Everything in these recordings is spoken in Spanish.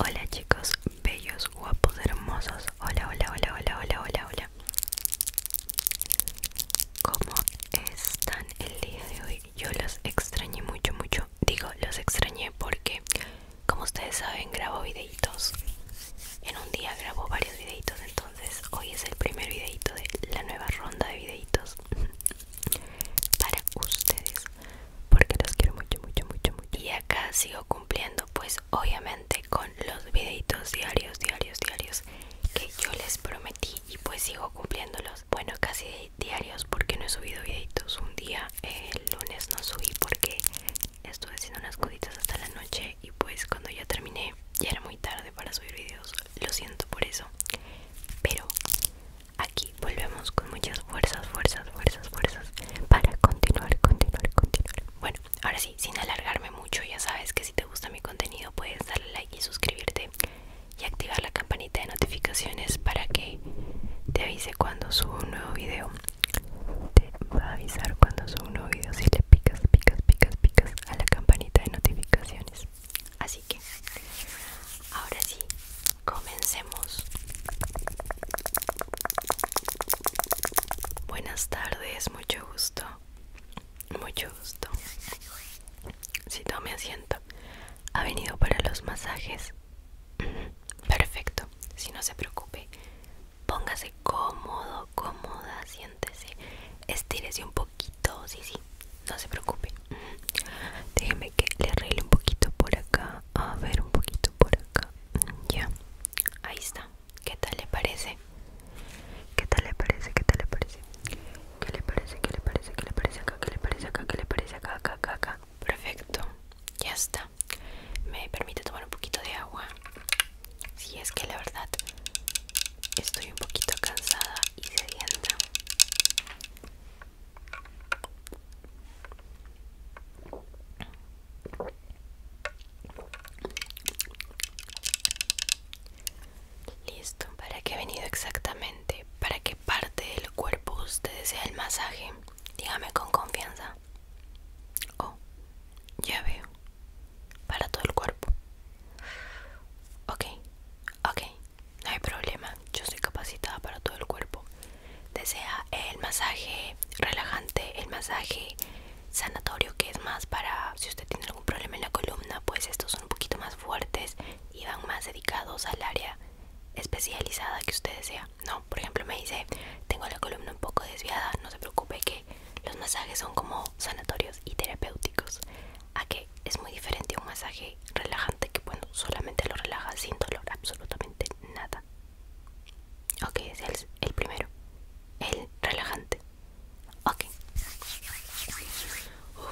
Hola chicos, bellos, guapos, hermosos. Hola, hola, hola, hola, hola, hola, hola. ¿Cómo están el día de hoy? Yo los extrañé mucho, mucho. Digo, los extrañé porque, como ustedes saben, grabo videitos. En un día grabo varios videitos, entonces hoy es el primer videito de la nueva ronda de videitos para ustedes porque los quiero mucho mucho mucho mucho y acá sigo cumpliendo pues obviamente con los videitos diarios diarios diarios que yo les prometí y pues sigo cumpliéndolos bueno casi diarios porque no he subido videitos un día el lunes no subí porque estuve haciendo unas cositas hasta la noche y pues cuando ya terminé ya era muy tarde para subir videos lo siento por eso pero aquí volvemos con muchas fuerzas fuerzas fuerzas fuerzas para continuar continuar continuar bueno ahora sí sin alargarme mucho ya sabes que si te gusta mi contenido puedes darle like y suscribirte y activar la campanita de notificaciones para que te avise cuando subo un nuevo video te va a avisar cuando subo un nuevo video si le picas picas picas picas a la campanita de notificaciones así ahora sí comencemos buenas tardes mucho gusto mucho gusto si tome asiento ha venido para los masajes mm, perfecto si no se preocupe póngase cómodo cómoda siéntese estírese un poquito sí sí no se preocupe Déjeme que le arregle un poquito por acá. A ver, un poquito por acá. Ya. Ahí está. ¿Qué tal le parece? ¿Qué tal le parece? ¿Qué tal le parece? ¿Qué le parece? ¿Qué le parece? ¿Qué le parece acá? ¿Qué le parece acá? ¿Qué le parece acá? Acá, acá, acá. Perfecto. Ya está. Me permite tomar un poquito de agua. Si es que la verdad estoy un poquito cansada y sedienta. Listo, ¿para qué he venido exactamente? ¿Para qué parte del cuerpo usted desea el masaje? Dígame con confianza. Oh, ya veo. Para todo el cuerpo. Ok, ok, no hay problema, yo soy capacitada para todo el cuerpo. Desea el masaje relajante, el masaje sanatorio, que es más para si usted tiene algún problema en la columna, pues estos son un poquito más fuertes y van más dedicados al área especializada que usted desea. No, por ejemplo, me dice, tengo la columna un poco desviada, no se preocupe que los masajes son como sanatorios y terapéuticos a es muy diferente a un masaje relajante que bueno solamente lo relaja sin dolor absolutamente nada ok es el, primero el relajante ok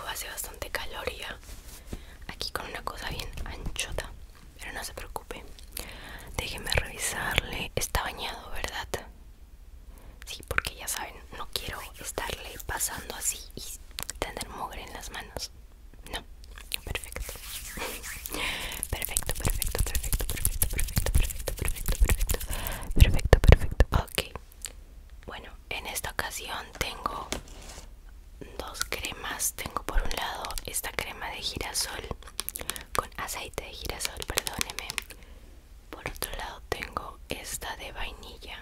hace bastante calor ya aquí con una cosa bien anchota pero no se preocupe déjeme revisarle está bañado verdad Sí, porque ya saben, no quiero estarle pasando así y tener mugre en las manos. No, perfecto. Perfecto, perfecto, perfecto, perfecto, perfecto, perfecto, perfecto, perfecto, perfecto, perfecto. Ok. Bueno, en esta ocasión tengo dos cremas. Tengo por un lado esta crema de girasol con aceite de girasol, perdóneme. Por otro lado tengo esta de vainilla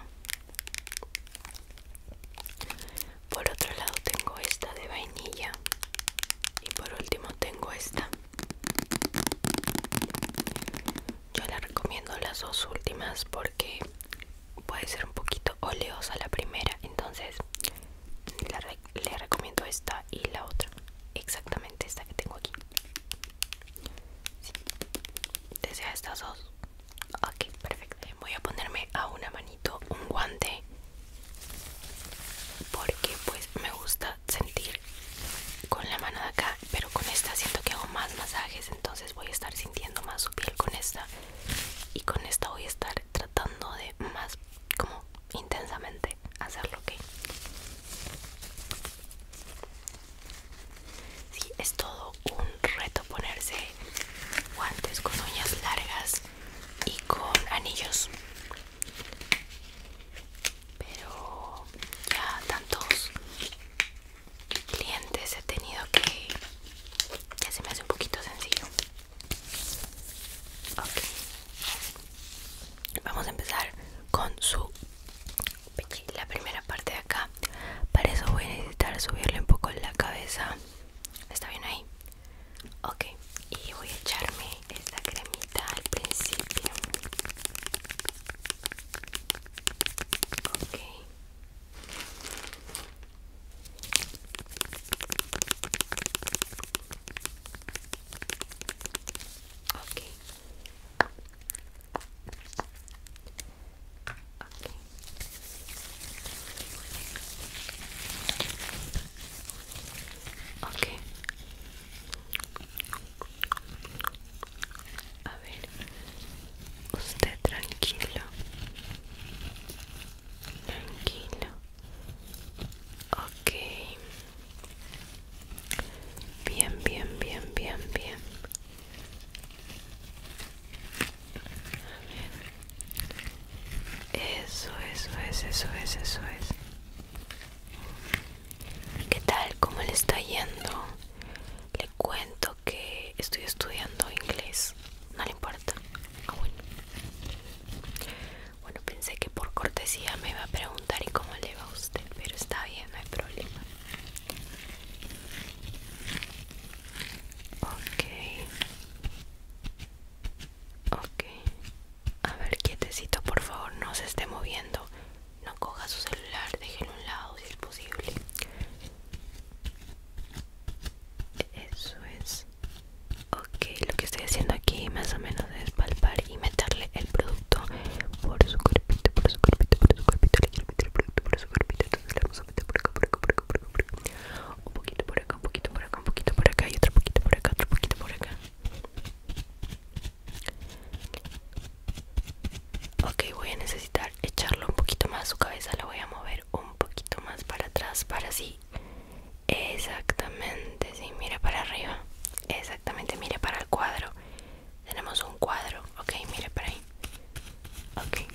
por otro lado tengo esta de vainilla y por último tengo esta. Yo le recomiendo las dos últimas porque puede ser un poquito oleosa la primera, entonces le recomiendo esta y la otra, exactamente esta que tengo aquí. Sí. Desea estas dos Ok, perfecto. Voy a ponerme a una manito un guante porque pues me gusta sentir con la mano de acá, pero con esta siento que hago más masajes, entonces voy a estar sintiendo más su piel con esta y con esta voy a estar tratando de más como intensamente hacerlo, que. Sí, es todo un reto ponerse guantes con uñas largas y con anillos. Pero ya tantos clientes he tenido que ya se me hace un poquito sencillo. Vamos a empezar con su la primera parte de acá para eso voy a necesitar subirle un poco la cabeza está bien ahí ok y voy a echarme esta cremita al principio ok Ok, Okay. ok a ver usted tranquilo tranquilo ok bien bien bien bien bien eso, eso es, eso es, eso es. ¿Qué tal? ¿Cómo le está yendo? Le cuento que estoy estudiando inglés. No le importa. Ah, bueno. Bueno, pensé que por cortesía me iba a preguntar y cómo le va a usted, pero está bien, no hay problema. Ok. Ok. A ver, quietecito, por favor, no se esté moviendo. No coja su celular, déjelo a un lado si es posible. Eso es. Ok, lo que estoy haciendo aquí más o menos es palpar y meterle el producto por su cuerpito, por su cuerpito, por su quiero meter el producto por su cuerpito, un poquito por acá, un poquito por acá, un poquito por acá y otro poquito por acá, otro poquito por acá. Ok, voy a necesitar echarlo un poquito más. Su cabeza la voy a mover un poquito más para atrás, para así. Exactamente, sí, mire para arriba. Exactamente, mire para el cuadro. Tenemos un cuadro, ok, mire para ahí. Ok.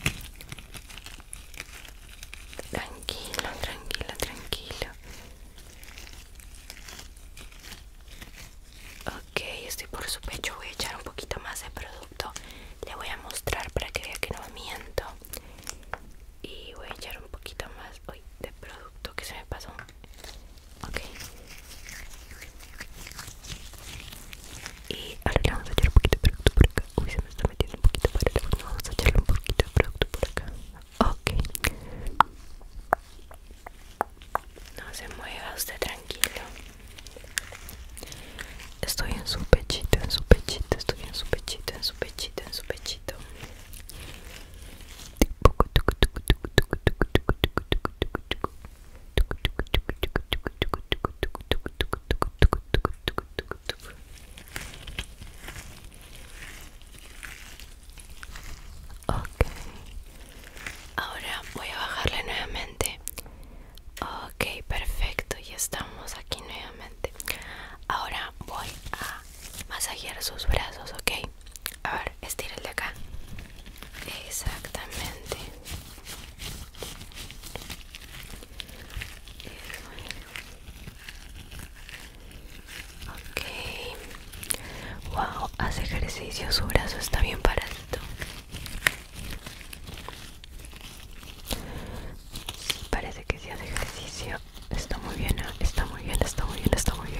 Tranquilo, tranquilo, tranquilo. Ok, estoy por su pecho. Voy a echar un poquito más de producto. Le voy a mostrar para que vea que no miento. Y voy a echar un poquito más de producto que se me pasó. Ok. Y ahora le vamos a echar un poquito de producto por acá. Uy, se me está metiendo un poquito para el agua. Vamos a tirar un poquito de producto por acá. Ok. No se mueva usted tranquilo. Estoy en su pechito, en su pechito, estoy en su pechito, en su pechito, en su pechito. Ok, ahora voy a bajarle nuevamente. Ok, perfecto, ya estamos aquí nuevamente. Ahora voy a masajear sus brazos, ok. A ver, de acá. Exactamente. Ok. Wow, hace ejercicio, su brazo está bien paradito. parece que si hace ejercicio. ¿eh? Está muy bien, está muy bien, está muy bien, está muy bien.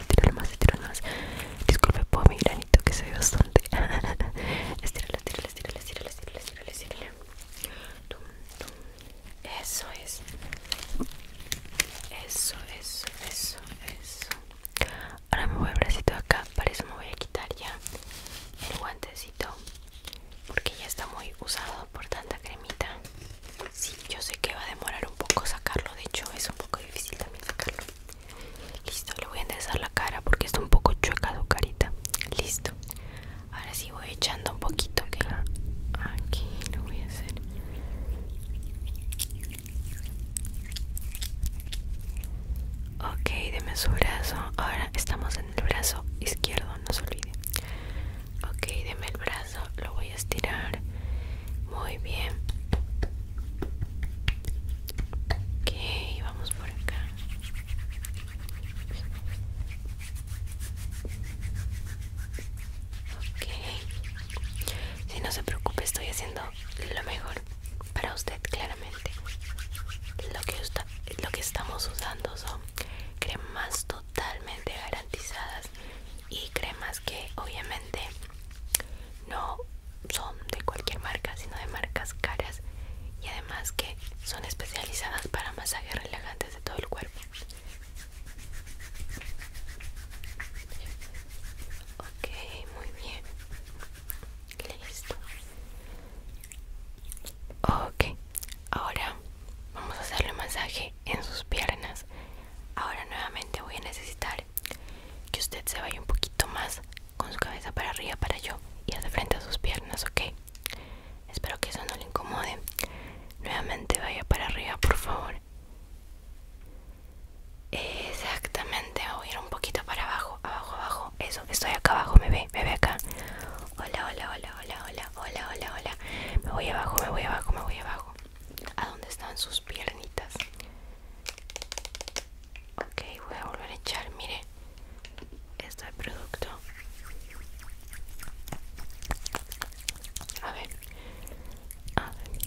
Estira más, estira más Disculpe por mi granito que se ve bastante Estiralo, estíralo, estiralo, estira, estira, estira, estira, Eso es Eso, eso, eso, eso Ahora me voy el bracito de acá, para eso me voy a quitar ya el guantecito porque ya está muy usado por tanta cremita Sí, yo sé que va a demorar un poco sacarlo, de hecho es un poco difícil también sacarlo. Listo, le voy a enderezar la cara porque está un poco chueca su carita. Listo. Ahora sí voy echando un poquito aquí lo voy a hacer. Ok, deme su brazo. Ahora estamos en el brazo izquierdo, no se olvide. Ok, deme el brazo lo voy a estirar muy bien ok vamos por acá ok si no se preocupe estoy haciendo lo mejor para usted claramente lo que, lo que estamos usando son cremas totalmente garantizadas y cremas que obviamente no son de cualquier marca sino de marcas caras y además que son especializadas para masajes relajantes de todo el cuerpo ok muy bien listo ok ahora vamos a hacerle masaje en sus piernas Ahora nuevamente voy a necesitar que usted se vaya un poquito más con su cabeza para arriba para yo Y hacia frente a sus piernas, ¿ok? Espero que eso no le incomode. Nuevamente vaya para arriba, por favor. Exactamente, voy a ir un poquito para abajo, abajo, abajo. Eso, estoy acá abajo, me ve, me ve acá. Hola, hola, hola, hola, hola, hola, hola, hola. Me voy abajo, me voy abajo, me voy abajo a dónde están sus piernitas ok voy a volver a echar mire este producto a ver a ver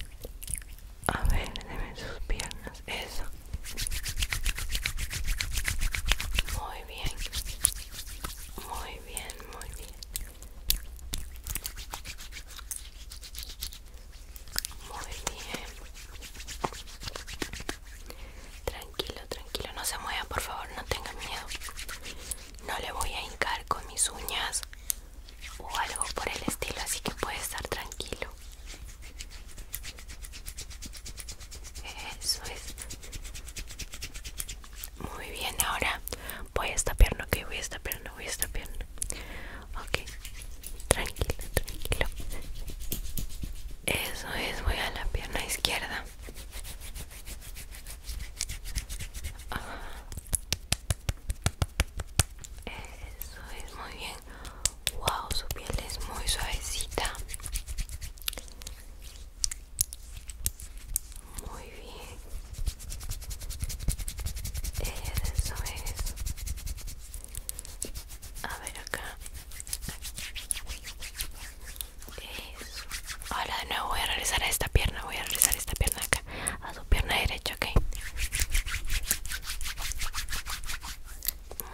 a ver deme sus piernas eso muy bien muy bien muy bien muy bien. Tranquilo, tranquilo. No se mueva, por favor, no tenga miedo. No le voy a hincar con mis uñas o algo por el estilo, así que puede estar tranquilo. Eso es. Muy bien, ahora voy a esta pierna, que voy a esta voy a esta pierna, Ok, tranquilo, tranquilo. Eso es, voy a la pierna izquierda. Ah. Eso es muy bien. Wow, su piel es muy suavecita. Muy bien. Eso es. A ver acá. Eso. Ahora de nuevo voy a realizar a esta pierna. Voy a realizar esta pierna acá. A su pierna derecha, ok.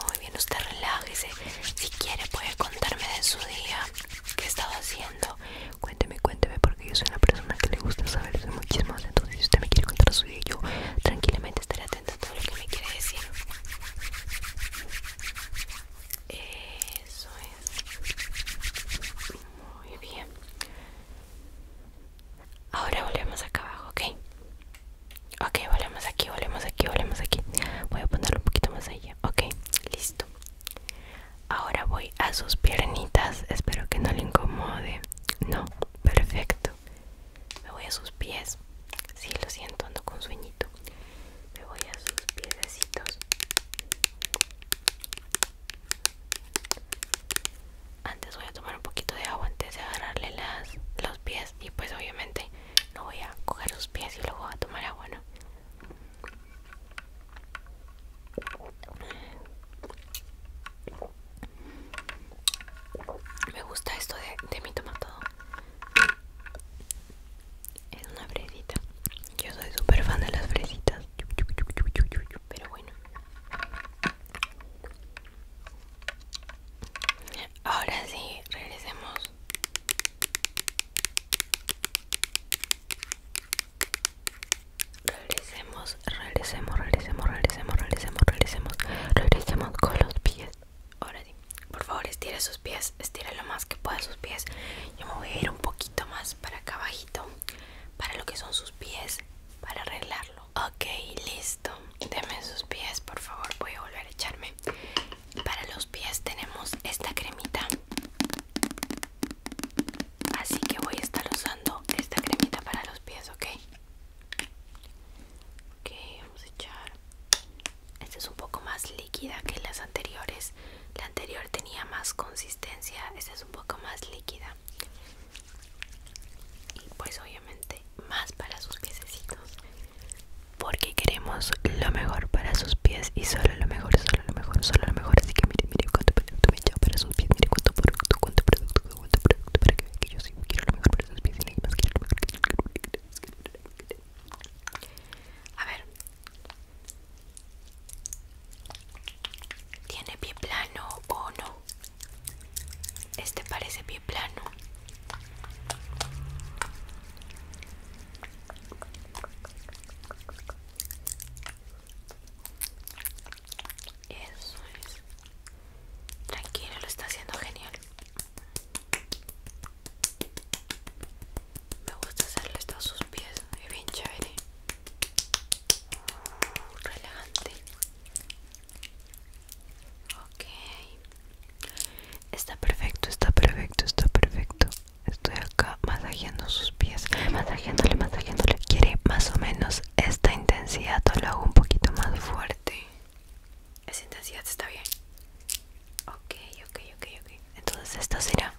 Muy bien, usted relájese. Si quiere puede contarme de su día. ¿Qué estaba haciendo? Cuénteme, cuénteme, porque yo soy una persona que le gusta saber de Entonces, si usted me quiere contar su video, yo tranquilamente estaré atento a todo lo que me quiere decir. Eso es. Muy bien. Ahora volvemos acá abajo, ¿ok? Ok, volvemos aquí, volvemos aquí, volvemos aquí. Voy a ponerlo un poquito más allá. Ok, listo. Ahora voy a sus piernitas. Espero que no le incomode. No, perfecto. Me voy a sus pies. Sí, lo siento, ando con sueñito. Me voy a sus piecitos Antes voy a tomar un poquito de agua antes de agarrarle las, los pies. Y pues obviamente no voy a coger sus pies y luego voy a tomar agua, ¿no? Me gusta esto de, mi tomatado Es una fresita. Yo soy súper fan de las fresitas. Pero bueno. Ahora sí, regresemos. Regresemos, regresemos, regresemos, regresemos, regresemos, regresemos, regresemos con los pies. Ahora sí, por favor estire sus pies, estire lo más que pueda sus pies. Yo me voy a ir un poquito más para acá abajito, para lo que son sus pies, para arreglarlo. Ok, listo. Deme sus pies, por favor, voy a volver a echarme. Para los pies tenemos esta cremita Así que voy a estar usando esta cremita para los pies, ¿ok? Ok, vamos a echar. Esta es un poco más líquida que las anteriores. La anterior tenía más consistencia, esta es un poco más líquida. Y pues obviamente más para sus piececitos. Porque queremos lo mejor para sus pies y solo lo mejor, solo lo mejor, solo lo mejor. Así que mire, mire cuánto producto me he para sus pies, mire cuánto producto, cuánto producto, a ver. ¿Tiene pie plano o no? Este parece pie plano. Eso es. Tranquilo, lo está haciendo genial. Me gusta hacerle esto a sus pies. Es bien chévere. relajante. Ok. Está perfecto, está perfecto, está perfecto. Estoy acá masajeando sus pies. Masajeándole, masajeándole. Quiere más o menos esta intensidad lo hago un poquito más fuerte. Esa intensidad está bien. Ok, ok, ok, ok. Entonces esto será.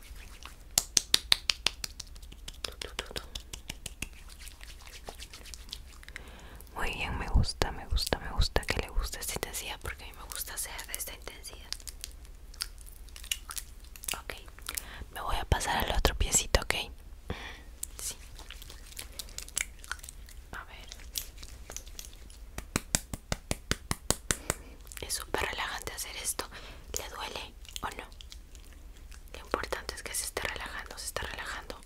Muy bien, me gusta, me gusta, me gusta que le guste esta intensidad porque a mí me gusta hacer esta intensidad. Ok, me voy a pasar al otro piecito, ok. Sí. A ver. Es súper relajante hacer esto. ¿Le duele o no? Lo importante es que se esté relajando, se está relajando.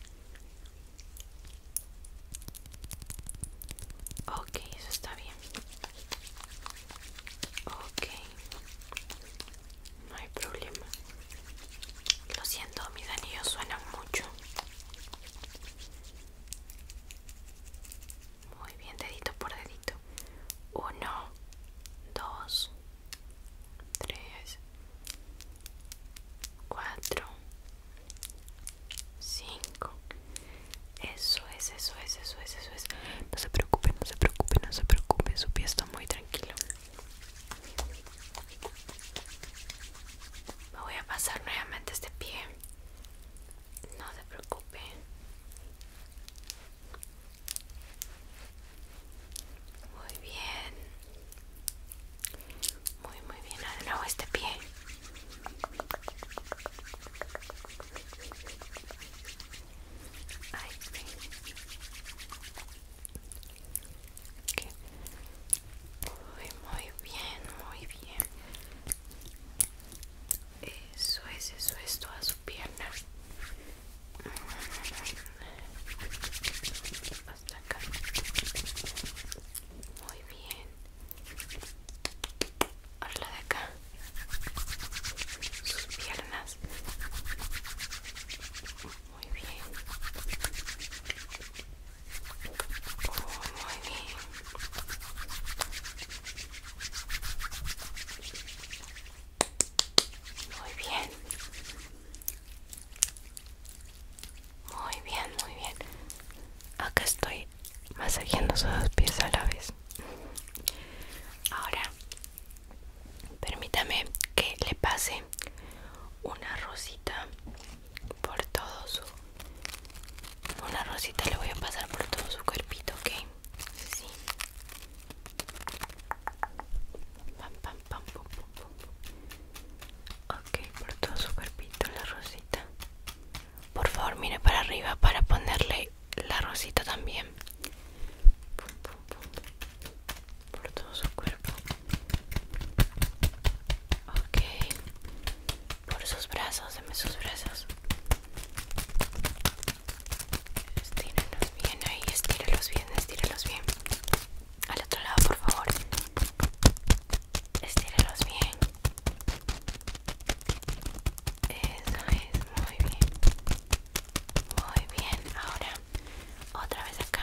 Ok, eso está bien. Ok. No hay problema. Lo siento, mis anillos suenan mucho. Muy bien, dedito por dedito. Uno, dos, tres, cuatro, cinco. Eso es, eso es, eso es, eso es. No se preocupe, no se preocupe, no se preocupe. Su pie está muy tranquilo. Me voy a pasar nuevamente este pie. No te preocupes Muy bien. Muy, muy bien. Ah, de este pie. Ahí, muy bien, muy bien. Eso es, eso es toda su pierna. Mm. Muy bien. Ahora la de acá. Sus piernas. Muy bien. Oh, muy bien. Muy bien. Muy bien, muy bien. Acá estoy masajeando sus dos pies a la vez. Ahora Permítame que le pase una rosita por todo su... Una rosita le voy a pasar por todo su cuerpito, ¿ok? Sí. Pam, pam, pam, Ok, por todo su cuerpito la rosita. Por favor, mire para arriba para ponerle la rosita también por todo su cuerpo ok por sus brazos dame sus brazos estíralos bien ahí estíralos bien estíralos bien al otro lado por favor estíralos bien eso es muy bien muy bien ahora otra vez acá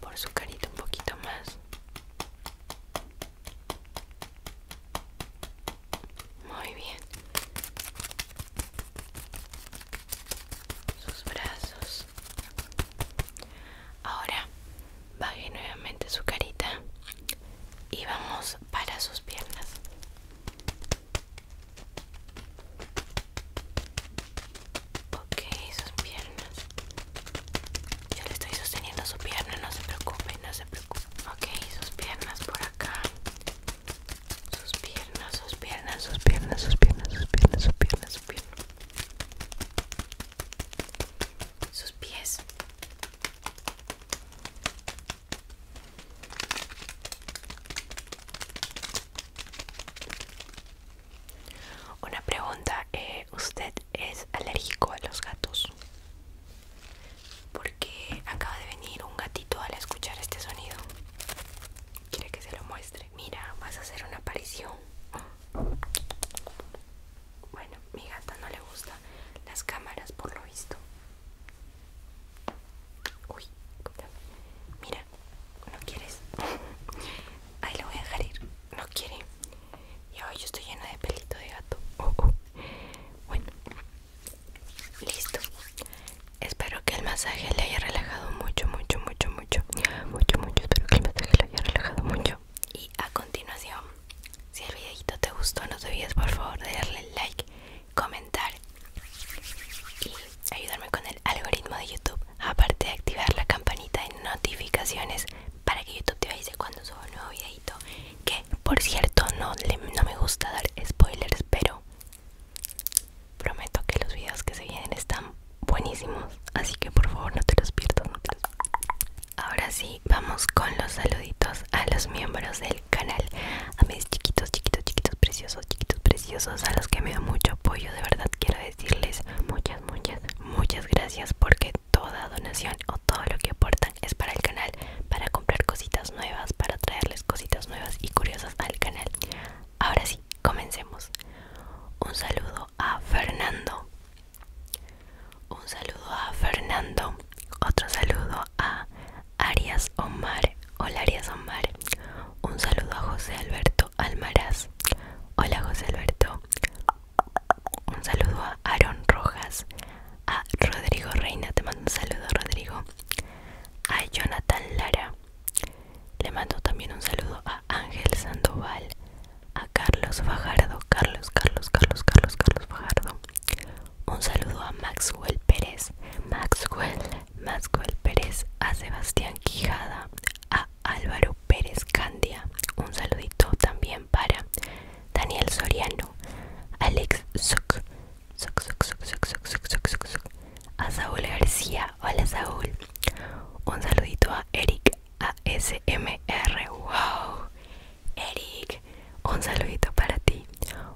por su carita un poquito más muy bien sus brazos ahora baje nuevamente su carita y vamos para sus piernas Ok, sus piernas. Yo le estoy sosteniendo su pierna, no se preocupe, no se preocupe. Ok, sus piernas por acá. Sus piernas, sus piernas, sus piernas, sus piernas, sus piernas, sus piernas, sus piernas. Sus pies. Una pregunta, eh, ¿usted es alérgico a los gatos? Porque acaba de venir un gatito al escuchar este sonido. ¿Quiere que se lo muestre? Mira, vas a hacer una aparición. Bueno, mi gata no le gusta las cámaras por lo visto. Uy, mira, no quieres. Ahí lo voy a dejar ir. No quiere. Y hoy yo estoy llena de pelito de gato. Oh, oh. Bueno, listo. Espero que el masaje le haya relajado mucho, mucho, mucho, mucho. Mucho, mucho. Espero que el masaje le haya relajado mucho. Y a continuación, si el videito te gustó, no te olvides por favor de darle like, comentar y ayudarme con el algoritmo de YouTube, aparte de activar la campanita de notificaciones para que YouTube te avise cuando suba un nuevo videito. Que por cierto, no, no me gusta dar spoilers, pero prometo que los videos que se vienen están buenísimos, así que por favor no te los pierdas. Ahora sí, vamos con los saluditos a los miembros del canal, a mis chiquitos, chiquitos, chiquitos preciosos chiquitos preciosos a los que me da mucho apoyo. De verdad quiero decirles muchas, muchas, muchas gracias porque toda donación o todo lo que aportan es para el canal, para comprar cositas nuevas, para traerles cositas nuevas y curiosas al canal. Ahora sí, comencemos. Un saludo a Fernando. Un saludo a Fernando. Otro saludo a Arias Omar Hola Arias Omar. Un saludo a José Alberto Almaraz. Hola José Alberto. Un saludo a Aaron Rojas. A Rodrigo Reina. Te mando un saludo Rodrigo. A Jonathan Lara. Le mando también un saludo a Ángel Sandoval. A Carlos Fajardo. Carlos, Carlos, Carlos, Carlos, Carlos Fajardo. Un saludo a Maxwell Pérez. Maxwell Mascuel Pérez, a Sebastián Quijada, a Álvaro Pérez Candia, un saludito también para Daniel Soriano, Alex Zuc, a Saúl García, hola Saúl, un saludito a Eric ASMR, wow, Eric, un saludito para ti,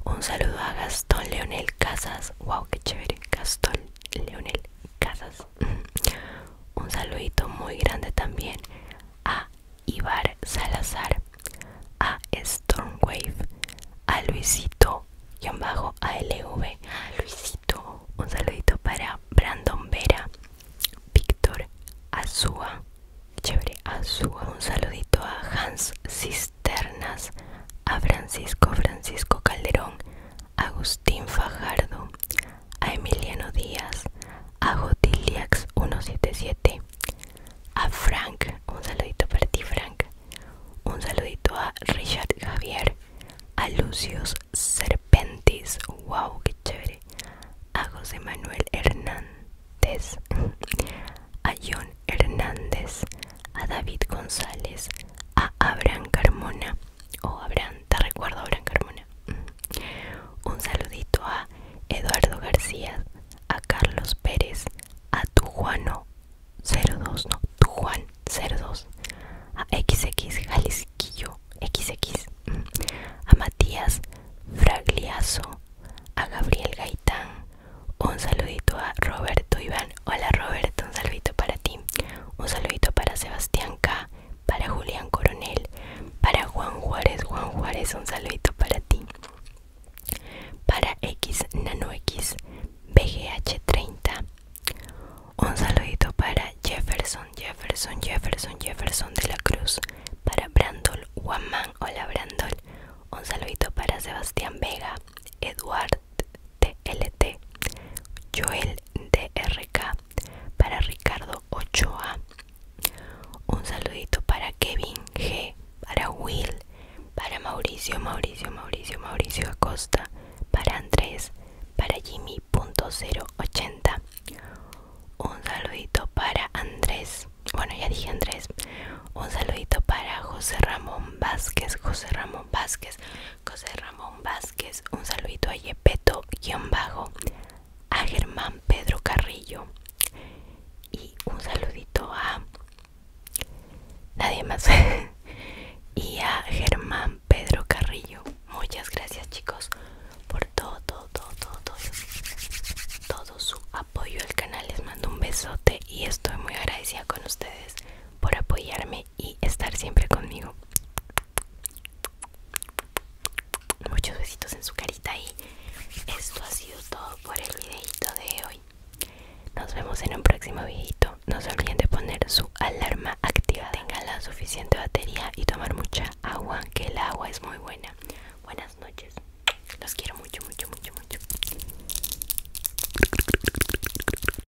un saludo a Gastón Leonel Casas, wow, qué chévere, Gastón Leonel Casas. Un saludito muy grande también a Ibar Salazar, a Stormwave, a Luisito y bajo a LV. Luisito, un saludito para Brandon Vera, Víctor Azúa, chévere Azúa, un saludito a Hans Cisternas, a Francisco Francisco Calderón, Agustín Fajardo, a Emiliano Díaz, a jotiliax 177, a Frank, un saludito para ti Frank, un saludito a Richard Javier, a Lucius Serpentis, wow, qué chévere, a José Manuel Hernández, a John Hernández, a David González, a Abraham Carmona, o Abraham, te recuerdo Abraham Carmona. Mm. Un saludito a Eduardo García, a Carlos Pérez, a tu 02, no, tu Juan 02, a XX Jalisquillo XX, mm. a Matías Fragliazo, a Gabriel Gaitán, un saludito a Roberto Iván Hola Roberto, un saludito para ti. Un saludito para Sebastián K, para Julián Coronel, para Juan Juárez. Juan Juárez, un saludito para ti. Para X Nano X BGH30. Un saludito para Jefferson, Jefferson, Jefferson, Jefferson de la Cruz. Para Brandol Guamán. Hola Brandol. Un saludito para Sebastián Vega, Eduard TLT, Joel DRK, para Ricardo Ochoa, un saludito para Kevin G, para Will, para Mauricio, Mauricio, Mauricio, Mauricio Acosta, para Andrés, para Jimmy.080, un saludito para Andrés, bueno ya dije Andrés, un saludito para José Ramón Vázquez, José Ramón Vázquez, José Ramón Vázquez, un saludito a Yepeto, guión bajo, a Germán Pedro Carrillo y un saludito a nadie más y a Germán Pedro Carrillo. Muchas gracias chicos por todo, todo, todo, todo, su apoyo al canal. Les mando un besote y estoy muy agradecida con ustedes por apoyarme y estar siempre conmigo. Muchos besitos en su carita y esto ha sido todo por el videito de hoy. Nos vemos en un próximo videito. No se olviden de poner su alarma activa. Tengan la suficiente batería y tomar mucha agua, que el agua es muy buena. Buenas noches. Los quiero mucho, mucho, mucho, mucho.